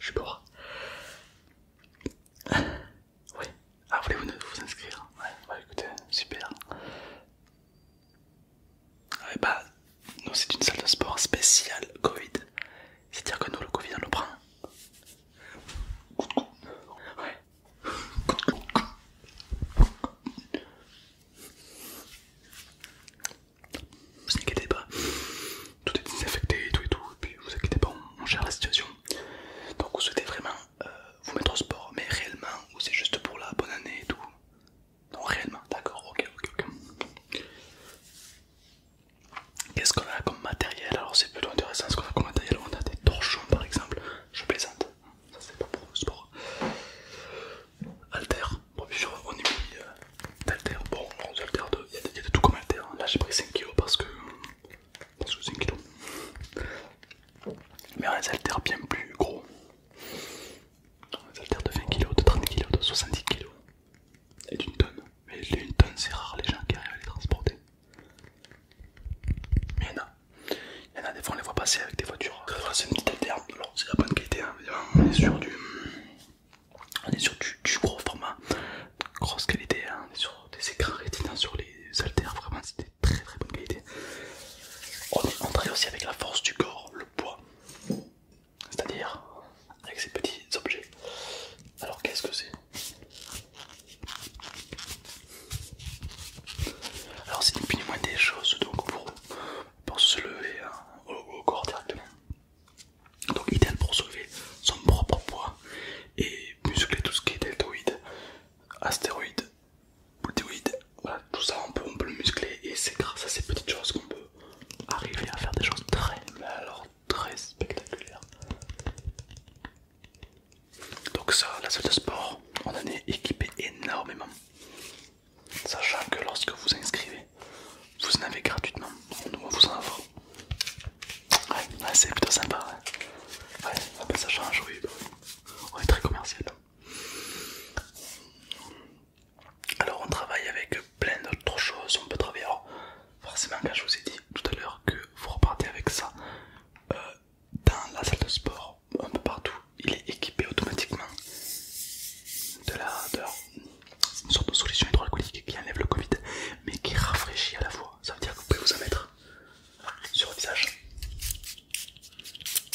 Je suis Oui. Ah, voulez-vous vous inscrire Ouais, ouais, écoutez, super. Ouais, ah, bah, nous, c'est une salle de sport spéciale Covid. C'est-à-dire que nous, le Covid, on le prend. Ouais. Vous inquiétez pas, tout est désinfecté et tout et tout, et puis vous inquiétez pas, on, gère la situation. Donc vous souhaitez vraiment euh, vous mettre au sport, mais réellement, ou c'est juste pour la bonne année et tout Non, réellement, d'accord, ok, ok, ok. Qu'est-ce qu'on a comme matériel Alors c'est plutôt intéressant ce qu'on a comme matériel, on a des torchons par exemple, je plaisante, ça c'est pas pour le sport. Alter, Bon, bien on est mis d'altère. Euh, bon, alters de, il y, a de tout comme alter. Hein. Là, j'ai pris 5 kg parce que. Parce que 5 kg. Mais on a des bien plus gros. On a des de 20 kg, de 30 kg, de 70 kg. Et d'une tonne. Mais une tonne, c'est rare les gens qui arrivent à les transporter. Mais il y en a. Il y en a, des fois on les voit passer avec des voitures. C'est une petite alter. c'est la bonne qualité, hein. on est sur du on est sur du, gros format, grosse qualité, hein. on est sur des écrans hein, sur les haltères, vraiment c'est des très très bonne qualité. On est aussi avec la force du corps, le poids, c'est-à-dire avec ces petits objets. Alors qu'est-ce que c'est alors c'est du plus moins des choses donc pour, pour se lever hein, au, corps directement. Donc idéal pour soulever son propre poids et muscler tout ce qui est deltoïde, astéroïde, boutéoïde, voilà tout ça on peut, le muscler et c'est grâce à ces petites choses qu'on peut arriver à faire des choses très alors très spectaculaires. Donc ça la salle de sport on en est équipé énormément Sachant que lorsque vous inscrivez, vous en avez gratuitement. On vous en Ouais, c'est plutôt sympa. Ouais, ah ben, ça change, oui. On est très commercial. Alors on travaille avec plein d'autres choses. On peut travailler. forcément, quand je vous ai dit tout à l'heure que vous repartez avec ça euh, dans la salle de sport un peu partout il est équipé automatiquement de la, sorte de solution hydroalcoolique qui enlève le Covid mais qui rafraîchit à la fois ça veut dire que vous pouvez vous en mettre sur le visage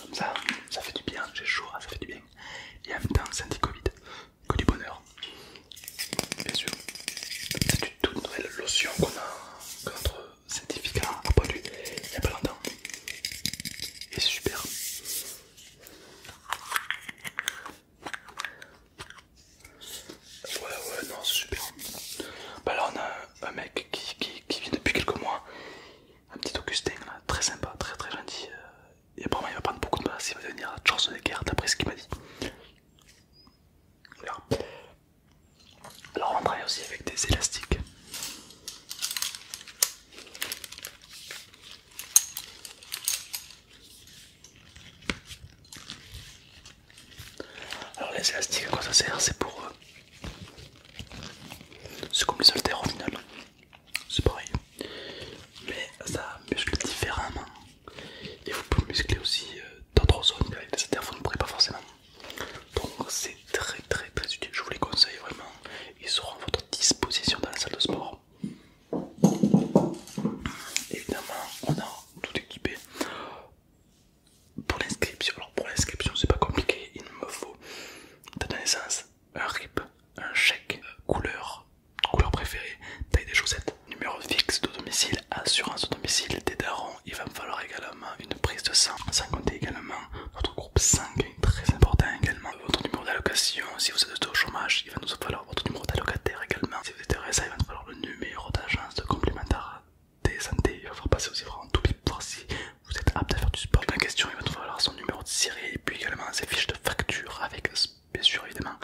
comme ça ça fait du bien j'ai chaud ça fait du bien et en même temps c'est anti-Covid que du bonheur bien sûr c'est une toute nouvelle lotion qu'on a contre scientifique a produit il y a pas longtemps c'est super. Ouais ouais non c'est super. Bah là on a un, mec qui, vient depuis quelques mois, un petit Augustin là, très sympa, très très gentil. Euh, et apparemment il va prendre beaucoup de place, il va devenir Schwarzenegger d'après ce qu'il m'a dit. alors on travaille aussi avec des élastiques. Alors les élastiques à quoi ça sert C'est pour se euh, C'est comme les au final. C'est pareil. Mais ça muscle différemment. Et vous pouvez muscler aussi euh, d'autres zones avec des haltères, vous ne pourrez pas forcément donc c'est très très très utile je vous les conseille vraiment ils seront à votre disposition dans la salle de sport évidemment on a tout équipé pour l'inscription alors pour l'inscription c'est pas compliqué il me faut date de naissance un RIP un chèque couleur couleur préférée taille des chaussettes numéro fixe de domicile assurance de domicile des il va me falloir également une prise de sang sans compter également votre très important également. Votre numéro d'allocation, si vous êtes au chômage, il va nous falloir votre numéro d'allocataire également. Si vous êtes RSA, il va nous falloir le numéro d'agence de complémentaire des santé. Il va falloir passer aussi en tout pour si vous êtes apte à faire du sport. En question, il va nous falloir son numéro de série et puis également ses fiches de facture avec, euh, bien sûr, évidemment,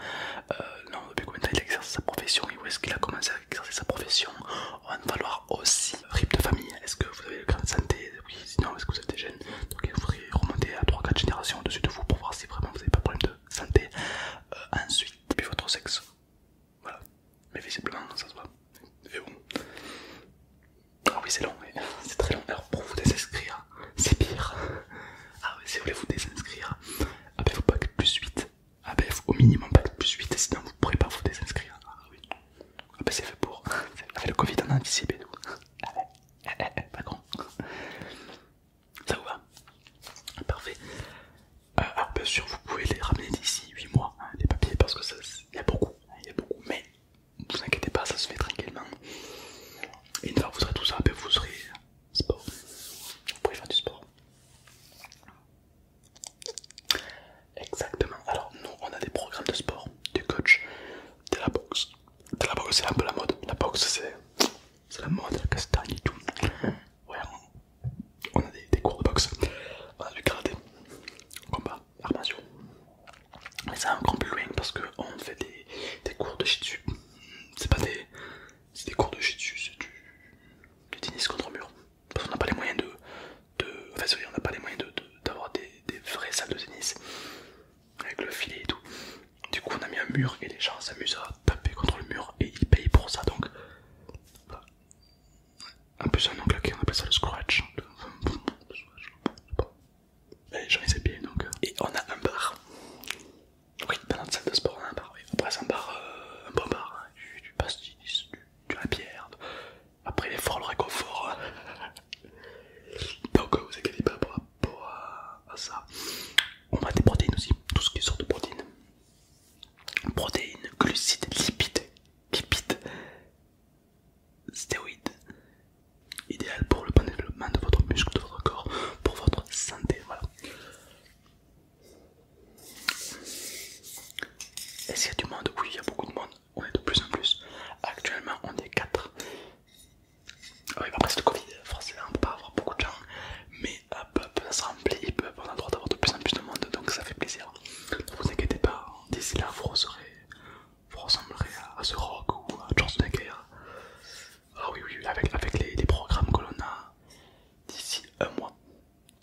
euh, non, depuis combien de temps il exerce sa profession et où est-ce qu'il a commencé à exercer sa profession, on va falloir aussi RIP de famille. Est-ce que vous avez le grain santé Oui, sinon est-ce que vous êtes des jeunes Donc il remonter à 3-4 générations au-dessus de vous pour voir si vraiment vous n'avez pas de problème de santé. Euh, ensuite, puis votre sexe. Voilà. Mais visiblement ça se voit. Et bon. Ah oui c'est long, c'est très long. Alors pour vous désinscrire, c'est pire. Ah oui si vous voulez vous désinscrire, ah faut pas être plus 8. Ah ben au minimum pack plus 8 sinon vous ne pourrez pas vous désinscrire. Ah oui ah bah c'est fait pour. Avec le Covid, en anticipé pas grand. Ça vous va Parfait. Euh, alors bien sûr, vous pouvez les ramener d'ici 8 mois, hein, les papiers, parce que ça, il y a beaucoup, hein, y a beaucoup. Mais ne vous inquiétez pas, ça se fait tranquillement. Et une fois que vous serez tout ça, ben, vous serez sport. Vous pouvez faire du sport. Exactement. Alors nous on a des programmes de sport, des coachs, de la boxe. De la boxe c'est un peu la mode. La boxe c'est la mode, la castagne et tout. Ouais, on a des, cours de boxe. On a du karaté, combat, armation Mais ça encore plus loin parce qu'on fait des, cours de jiu-jitsu C'est pas des... C'est des cours de shih c'est du, du tennis contre mur parce qu'on n'a pas les moyens de, de enfin oui, on n'a pas les moyens d'avoir de, des, des vraies salles de tennis avec le filet et tout. Du coup on a mis un mur et les gens s'amusent à taper contre le mur et ils payent pour ça donc. Voilà. En plus un oncle qui on appelle ça le scratch. Les gens ils donc. Euh. Et on a un bar. Oui, dans notre salle de sport on a un bar. Oui. Après c'est un bar, euh, un bon bar, hein, du, du pastis, as la pierre Après, il le réconfort. Donc, vous pas par à euh, ça. On va des protéines aussi, tout ce qui sort de protéines. Protéines, glucides, lipides, lipides, stéroïdes. Idéal pour le bon développement de votre muscle, de votre corps, pour votre santé. Voilà. Est-ce qu'il y a du monde Oui, il y a beaucoup de monde. On est de plus en plus. Actuellement, on est 4. après, c'est le Covid. Forcément, on peut pas avoir beaucoup de gens. Mais euh, peu près ça se remplit. on a le droit d'avoir de plus en plus de monde. Donc, ça fait plaisir. vous inquiétez pas. D'ici là, vous, vous ressemblerez à The Rock ou à Schwarzenegger. Ah oui, oui, avec, les programmes que l'on a d'ici un mois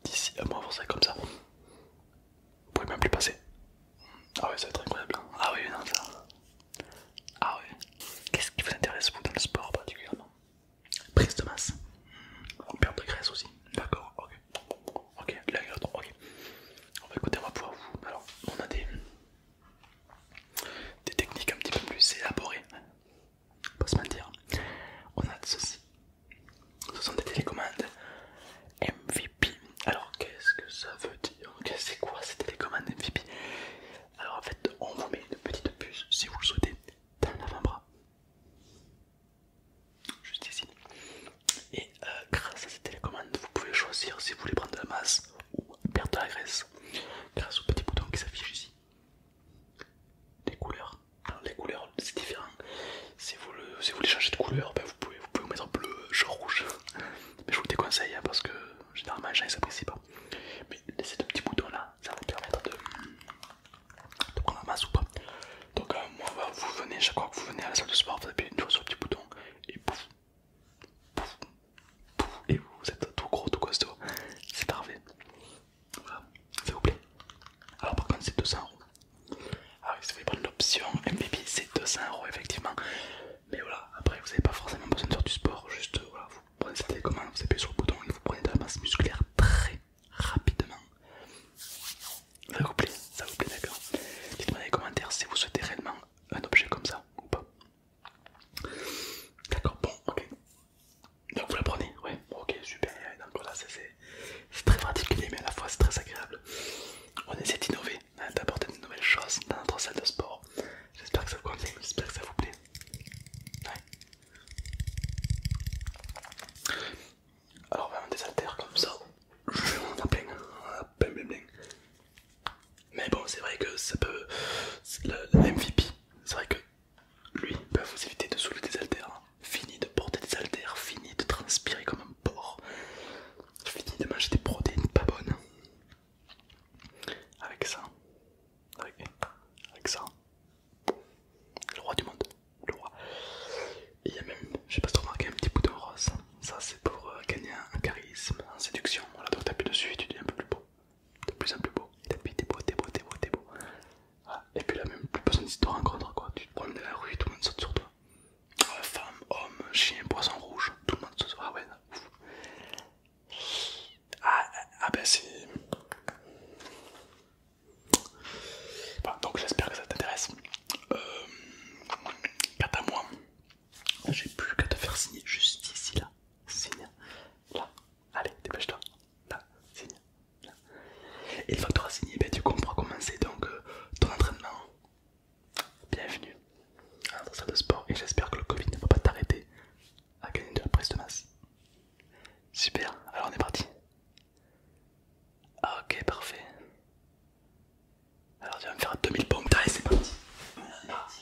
d'ici à mois vous ça comme ça. Vous pouvez même plus passer. Ah ouais, ça va être incroyable. Hein. Ah oui, non, ça. Ah oui. Qu'est-ce qui vous intéresse, vous, dans le sport particulièrement Prise de masse. On perd de graisse aussi. D'accord, ok. Ok, la l'autre. ok. On va bah, écouter, on va pouvoir vous. Alors, on a des, des techniques un petit peu plus élaborées pas se mentir. On a ceci. Ce sont des télécommandes MVP. Alors qu'est-ce que ça veut dire C'est quoi ces télécommandes MVP Alors en fait, on vous met une petite puce, si vous le souhaitez, dans l'avant-bras. Juste ici. Et euh, grâce à ces télécommandes, vous pouvez choisir si vous voulez prendre de la masse ou perdre de la graisse. Grâce au petit bouton qui s'affiche ici les couleurs. les couleurs, c'est différent. Si vous, voulez changer de couleur, ben, vous, pouvez, vous pouvez mettre bleu, jaune, rouge. Mais je vous déconseille hein, parce que généralement, les gens ils s'apprécient pas. Mais ces deux petits boutons là, ça va vous permettre de, la masse ou pas Donc, euh, moi, vous venez, chaque fois que vous venez à la salle de sport, vous appuyez une fois sur le petit bouton et et vous êtes tout gros, tout costaud. C'est parfait. Voilà, ça vous plaît. Alors, par contre, c'est 200 euros. si vous voulez prendre l'option MVP, c'est 200 euros effectivement. Mais voilà, après, vous n'avez pas forcément besoin de faire du sport. Juste, euh, vous prenez cette télécommande, vous appuyez sur le bouton et vous prenez de la masse musculaire très rapidement. Ça vous plaît, ça vous plaît, d'accord Dites-moi dans les commentaires si vous souhaitez réellement un objet comme ça ou pas. D'accord, bon, ok. Donc vous la prenez Ouais, ok, super. Donc là, c'est très particulier, mais à la fois c'est très agréable. On essaie d'innover, hein, d'apporter de nouvelles choses dans notre salle de sport. J'espère que ça vous convient, j'espère que ça vous plaît. Ouais. Alors, on désaltère comme ça. On a plein, on a plein, Mais bon, c'est vrai que ça peut. MVP, c'est vrai que lui, peut vous éviter de soulever des haltères. Hein. Fini de porter des haltères, fini de transpirer comme un porc, fini de manger des protéines pas bonnes. Avec ça, avec, ça, le roi du monde, le roi. Il y a même, je sais pas si tu remarques, un petit bout de rose. Ça, c'est pour euh, gagner un charisme, en séduction. Voilà, donc t'appuies dessus et tu deviens un peu plus beau de plus en plus beau. Et depuis, t'es beau, t'es beau, t'es beau, t'es beau. Ah, et puis là, même plus personne ne te rencontre quoi. Tu te promènes dans la rue, tout le monde saute sur toi. Ah, femme, homme, chien, poisson rouge, tout le monde saute sur toi. Ah ouais, Ah, ah, ah ben, c'est. donc j'espère que ça t'intéresse. Euh, quant à moi, j'ai plus qu'à te faire signer juste ici là. Signe là. Allez, dépêche-toi. Là, signe. Là. Et une fois que tu auras signé, on pourra commencer donc, euh, ton entraînement. Bienvenue à salle de sport et j'espère que le Covid ne va pas t'arrêter à gagner de la prise de masse. Super, alors on est parti. Ah, ok, parfait. Alors tu vas me faire 2000 pompes. Allez, c'est parti. On est parti,